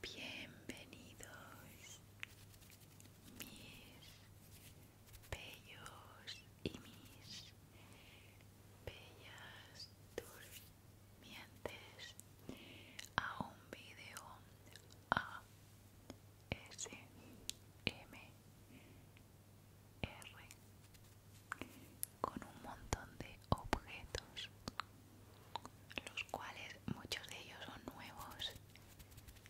Bienvenidos bellos y mis bellas durmientes a un video a s m r con un montón de objetos los cuales muchos de ellos son nuevos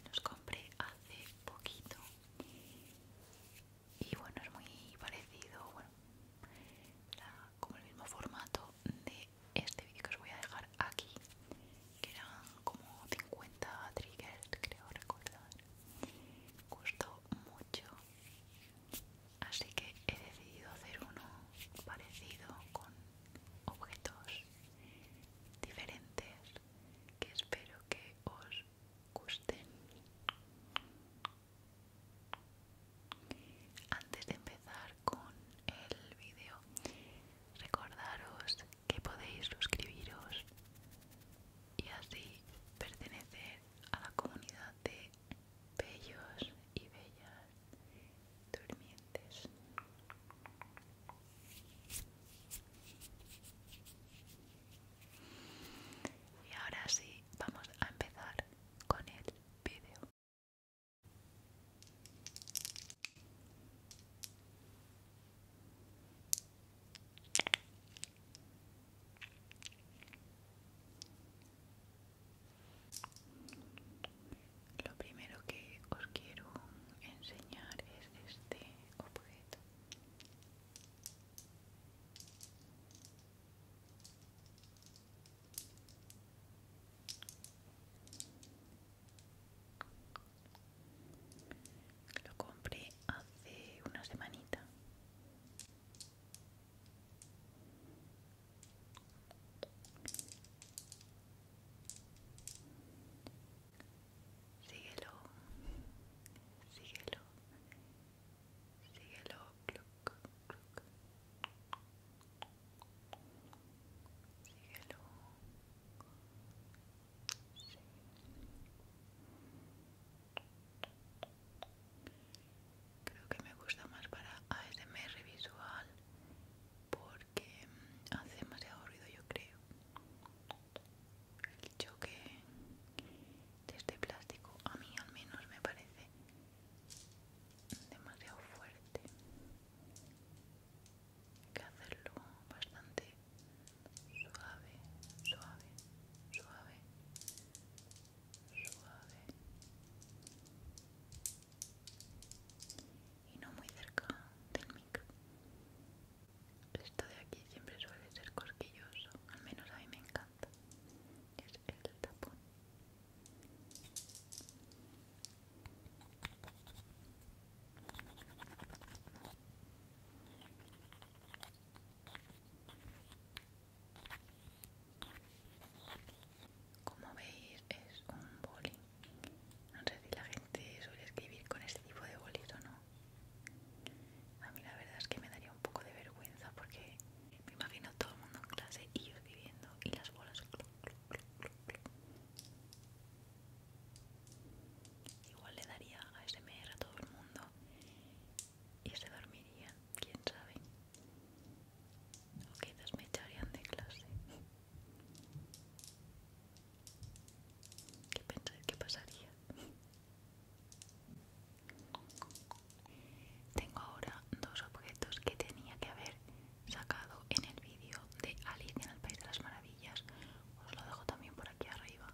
los compré hace poquito y bueno es muy parecido bueno como el mismo formato de este vídeo que os voy a dejar aquí que eran como 50 triggers creo recordar gustó mucho así que he decidido hacer uno parecido con objetos diferentes que espero que os gusten. Antes de empezar con el vídeo, recordaros que podéis suscribiros y así pertenecer a la comunidad de bellos y bellas durmientes. Y ahora sí, vamos a empezar con el vídeo. Lo primero que os quiero enseñar es este objeto. Lo compré hace una semanita. Síguelo, síguelo, síguelo, Síguelo. Creo que me gusta más para ASMR visual porque mm, hace más aburrido yo creo el choque de este plástico a mí al menos me parece demasiado fuerte hay que hacerlo bastante suave suave suave suave y no muy cerca del micro esto de aquí siempre suele ser corquilloso, al menos a mí me encanta. Es el tapón. Como veis es un boli. No sé si la gente suele escribir con este tipo de bolis o no, a mí la verdad es que me daría un poco de vergüenza porque me imagino todo el mundo en clase y yo escribiendo y las bolas. Igual le daría a a todo el mundo y se dormirían, quién sabe. O quizás me echarían de clase. ¿Qué pensáis que pasaría? Tengo ahora dos objetos que tenía que haber sacado en el vídeo de Alice en el País de las Maravillas. Os lo dejo también por aquí arriba.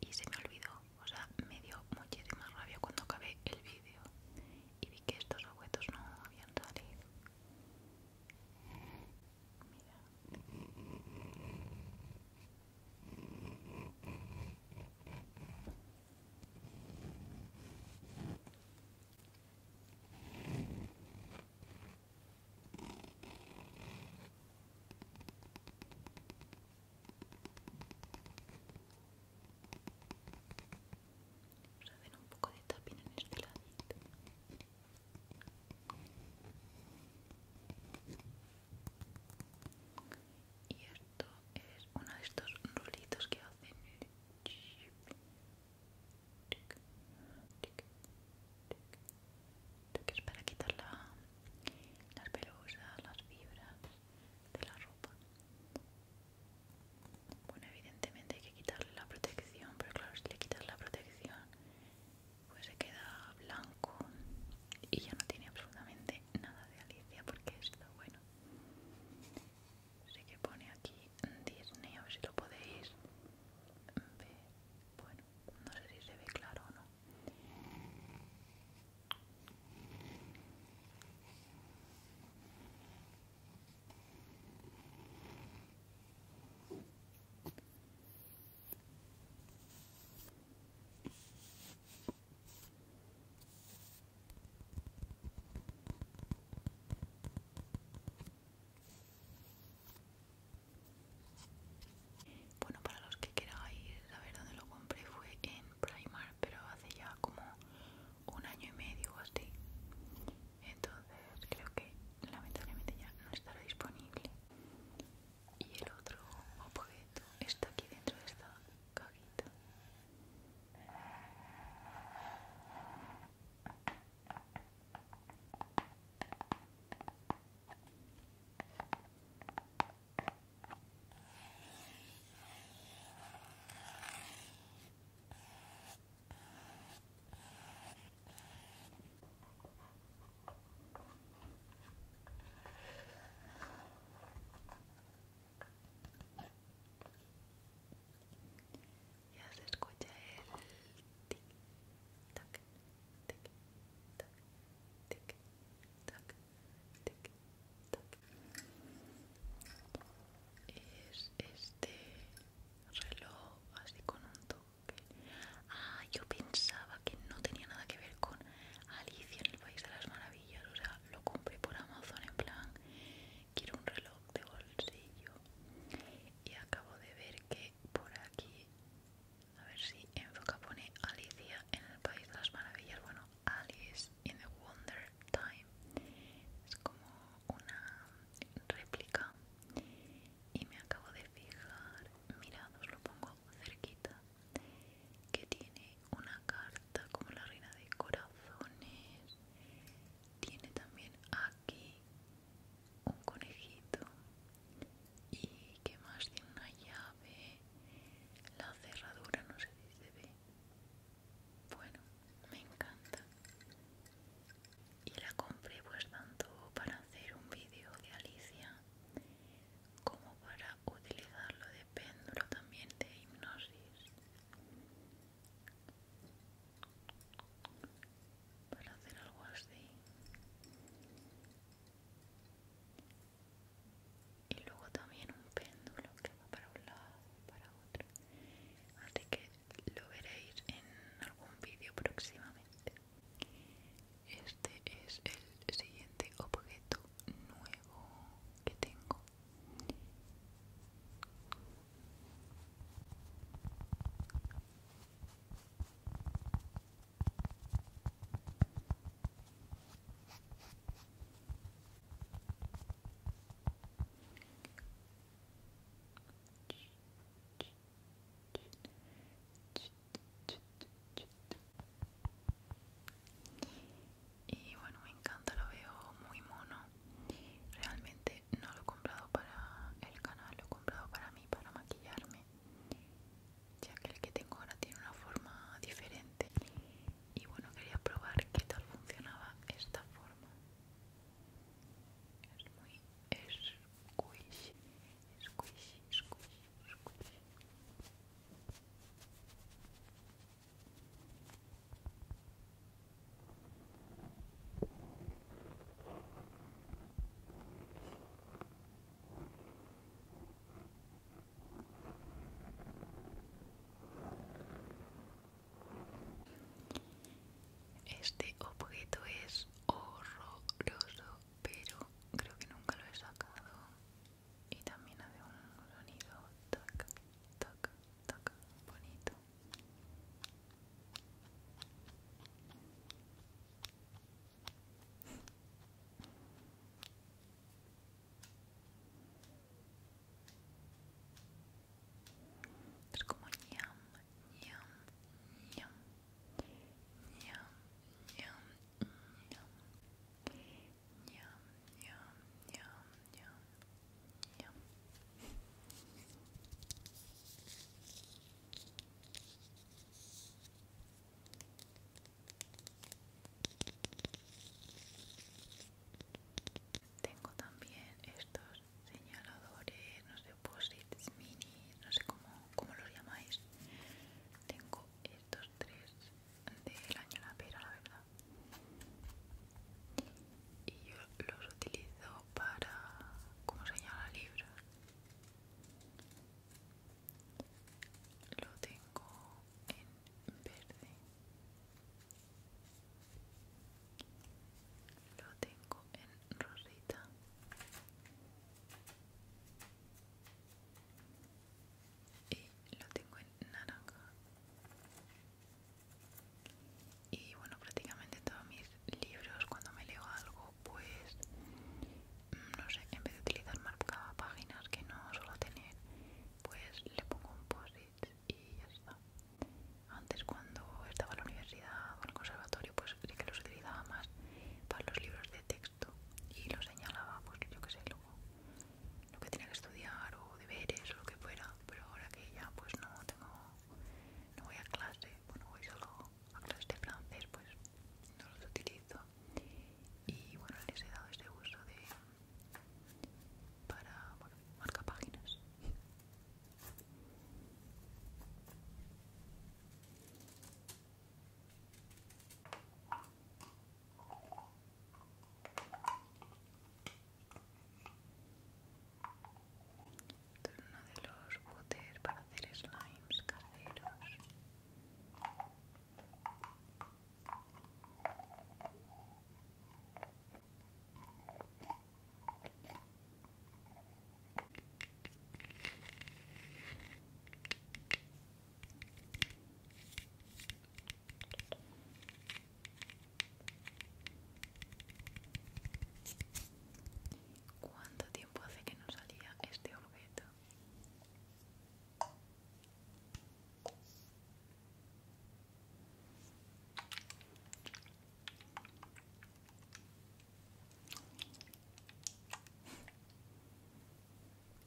Y se me olvidó, o sea, me dio muchísima rabia cuando acabé el vídeo y vi que estos objetos no habían salido. Mira. Vamos a un poco de tapping en este y esto es uno de estos rulitos que hacen que es para quitar las pelusas, las fibras de la ropa bueno evidentemente hay que quitarle la protección pero claro si le quitas la protección pues se queda blanco y ya no tiene absolutamente nada de Alicia porque es bueno. Sé que pone aquí Disney, a ver si lo podéis ver. Bueno, no sé si se ve claro o no. Bueno, para los que quieran a ver dónde lo compré fue en Primark, pero hace ya como un año y medio o así. Entonces creo que lamentablemente ya no estará disponible y el otro objeto está aquí dentro de esta cajita ya se escucha el Es este reloj así con un toque. Ah, yo pensaba que no tenía nada que ver con Alicia en el País de las Maravillas, o sea, lo compré por Amazon en plan, quiero un reloj de bolsillo. Y acabo de ver que por aquí, a ver si enfoca, pone Alicia en el País de las Maravillas, bueno, Alice in the Wonder Time. Es como una réplica. Y me acabo de fijar, mirad, lo pongo cerquita que tiene una carta como la reina de corazones tiene también aquí un conejito y que más tiene una llave la cerradura no sé si se ve bueno me encanta y la compré pues tanto para hacer un vídeo de Alicia como para utilizarlo de péndulo también de hipnosis para hacer algo así y luego también un péndulo que va para un lado para otro así que lo veréis en algún vídeo próximamente este es el siguiente objeto nuevo que tengo y bueno, me encanta, lo veo muy mono. Realmente no lo he comprado para el canal, lo he comprado para mí, para maquillarme. Ya que el que tengo ahora tiene una forma diferente. Y bueno, quería probar qué tal funcionaba esta forma. Es muy squish. Este objeto es horroroso, pero creo que nunca lo he sacado y también de un sonido tac, tac, tac, bonito. Es como ñam, ñam, ñam, ñam, ñam, ñam. Tengo también estos señaladores, no sé, posit mini, no sé cómo, cómo los llamáis. Tengo estos tres el año la pera, la verdad. Y yo los utilizo para como señala libra. Lo tengo en verde. Lo tengo en rosita y lo tengo en naranja y bueno prácticamente todos mis libros cuando me leo algo pues mm, no sé en vez de utilizar marcaba páginas que no suelo tener pues le pongo un post y ya está antes cuando estaba en la universidad o en el conservatorio pues sí que los utilizaba más para los libros de texto y lo señalaba pues yo que sé luego lo que tenía que estudiar o deberes o lo que fuera, pero ahora que ya pues no tengo, no voy a clase, bueno voy solo a clases de francés, pues no los utilizo y bueno les he dado este uso de para marcar marca páginas. Esto de los botes para hacer slimes caseros. ¿Cuánto tiempo hace que no salía este objeto?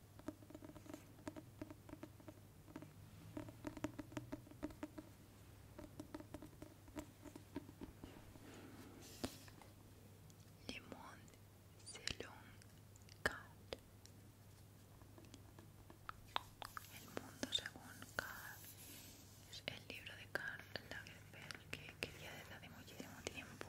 monde según Carl. El mundo según Carl es el libro de Carl Lagerfeld que quería desde hace muchísimo tiempo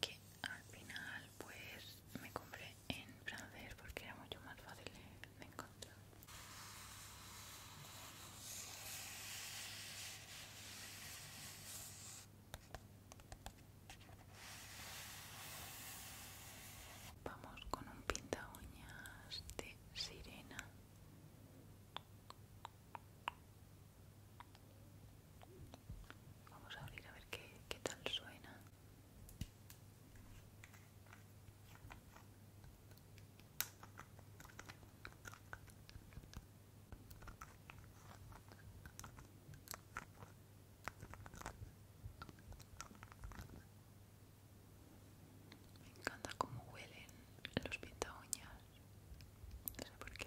que al final pues me compré en francés porque era mucho más fácil de encontrar. Vamos con un pinta uñas de sirena. Vamos a abrir a ver qué, qué tal suena. Me encanta cómo huelen los pinta No por qué.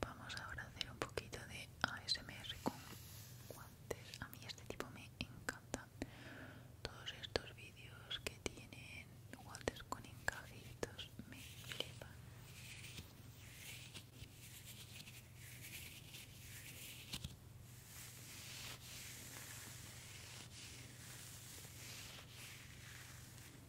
Vamos ahora a hacer un poquito de ASMR con guantes. A mí este tipo me encanta. Todos estos vídeos que tienen guantes con encajitos me flipan.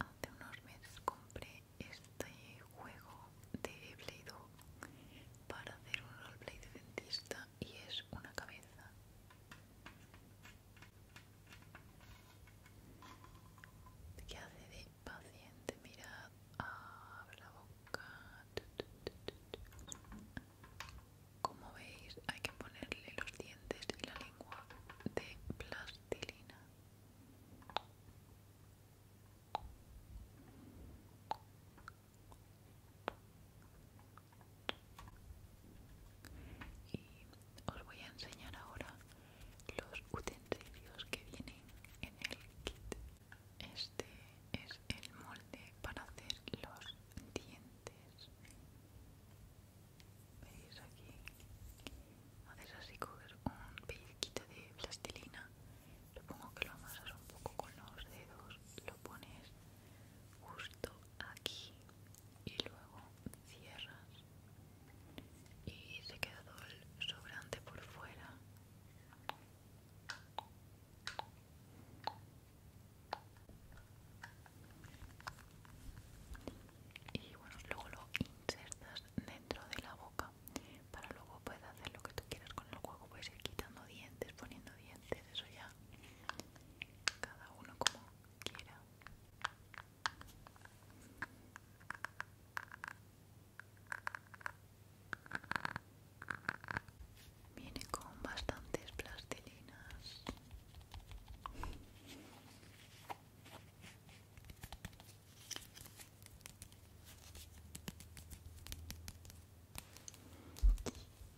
Hace unos meses compré este juego de Play Doh para hacer un roleplay de dentista y es una cabeza. ¿Qué hace de paciente? mira abre la boca. Como veis, hay que ponerle los dientes y la lengua de plastilina. Y os voy a enseñar ahora los utensilios que vienen en el kit este es el molde para hacer los dientes. ¿Veis aquí? Haces así coger un pellizquito de plastilina. Supongo que lo amasas un poco con los dedos. Lo pones justo aquí y luego cierras y se queda todo el sobrante por fuera y bueno luego lo insertas dentro de la boca para luego puedes hacer lo que tú quieras con el juego puedes ir quitando dientes poniendo dientes eso ya cada uno como quiera Viene con bastantes plastilinas.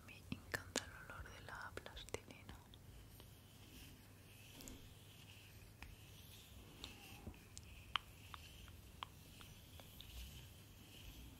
Me encanta el olor de la plastilina.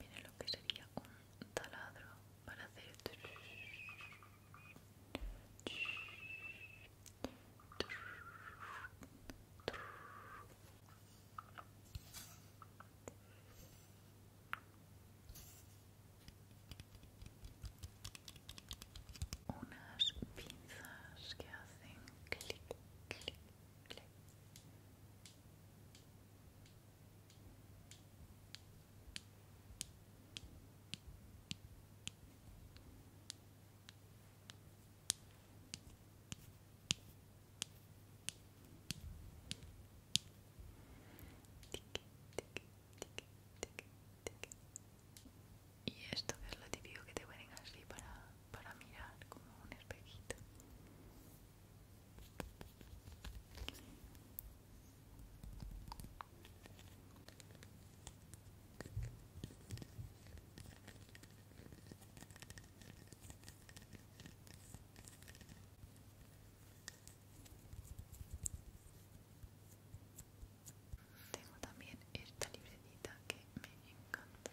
Mire lo que sería un taladro para hacer unas pinzas que hacen clic clic y esto es lo típico que te ponen así para para mirar como un espejito tengo también esta libretita que me encanta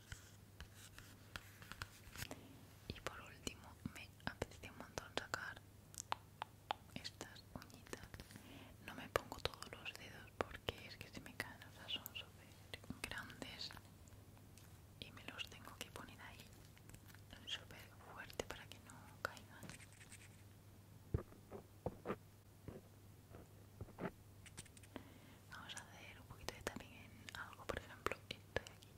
Y por último, me apetece un montón sacar estas uñitas. No me pongo todos los dedos porque es que se me caen, son súper grandes y me los tengo que poner ahí súper fuerte para que no caigan. Vamos a hacer un poquito de tapping en algo, por ejemplo, esto de aquí.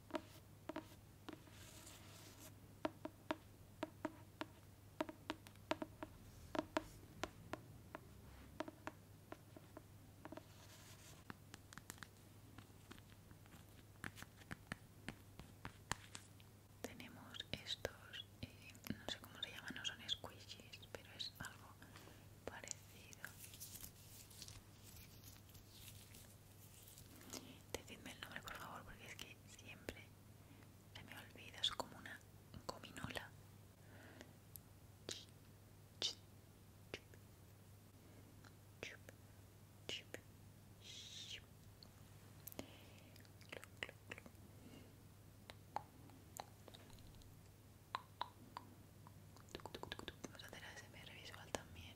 Tenemos estos, eh, no sé cómo se llaman, no son squishies, pero es algo parecido. Decidme el nombre por favor porque es que siempre se me olvida, es como una gominola. Vamos a hacer ASMR visual también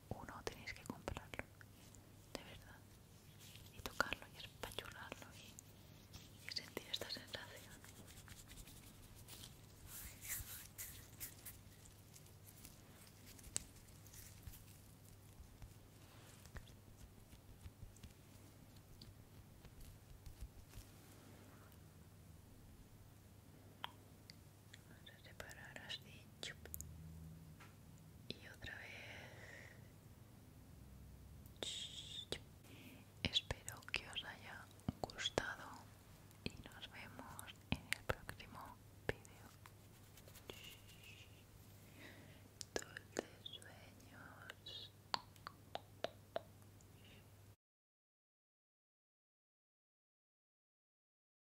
uno tenéis que comprarlo, de verdad, y tocarlo y espachularlo y, y sentir esta sensación vamos a separar así y otra vez espero que os haya gustado y nos vemos en el próximo vídeo dulces sueños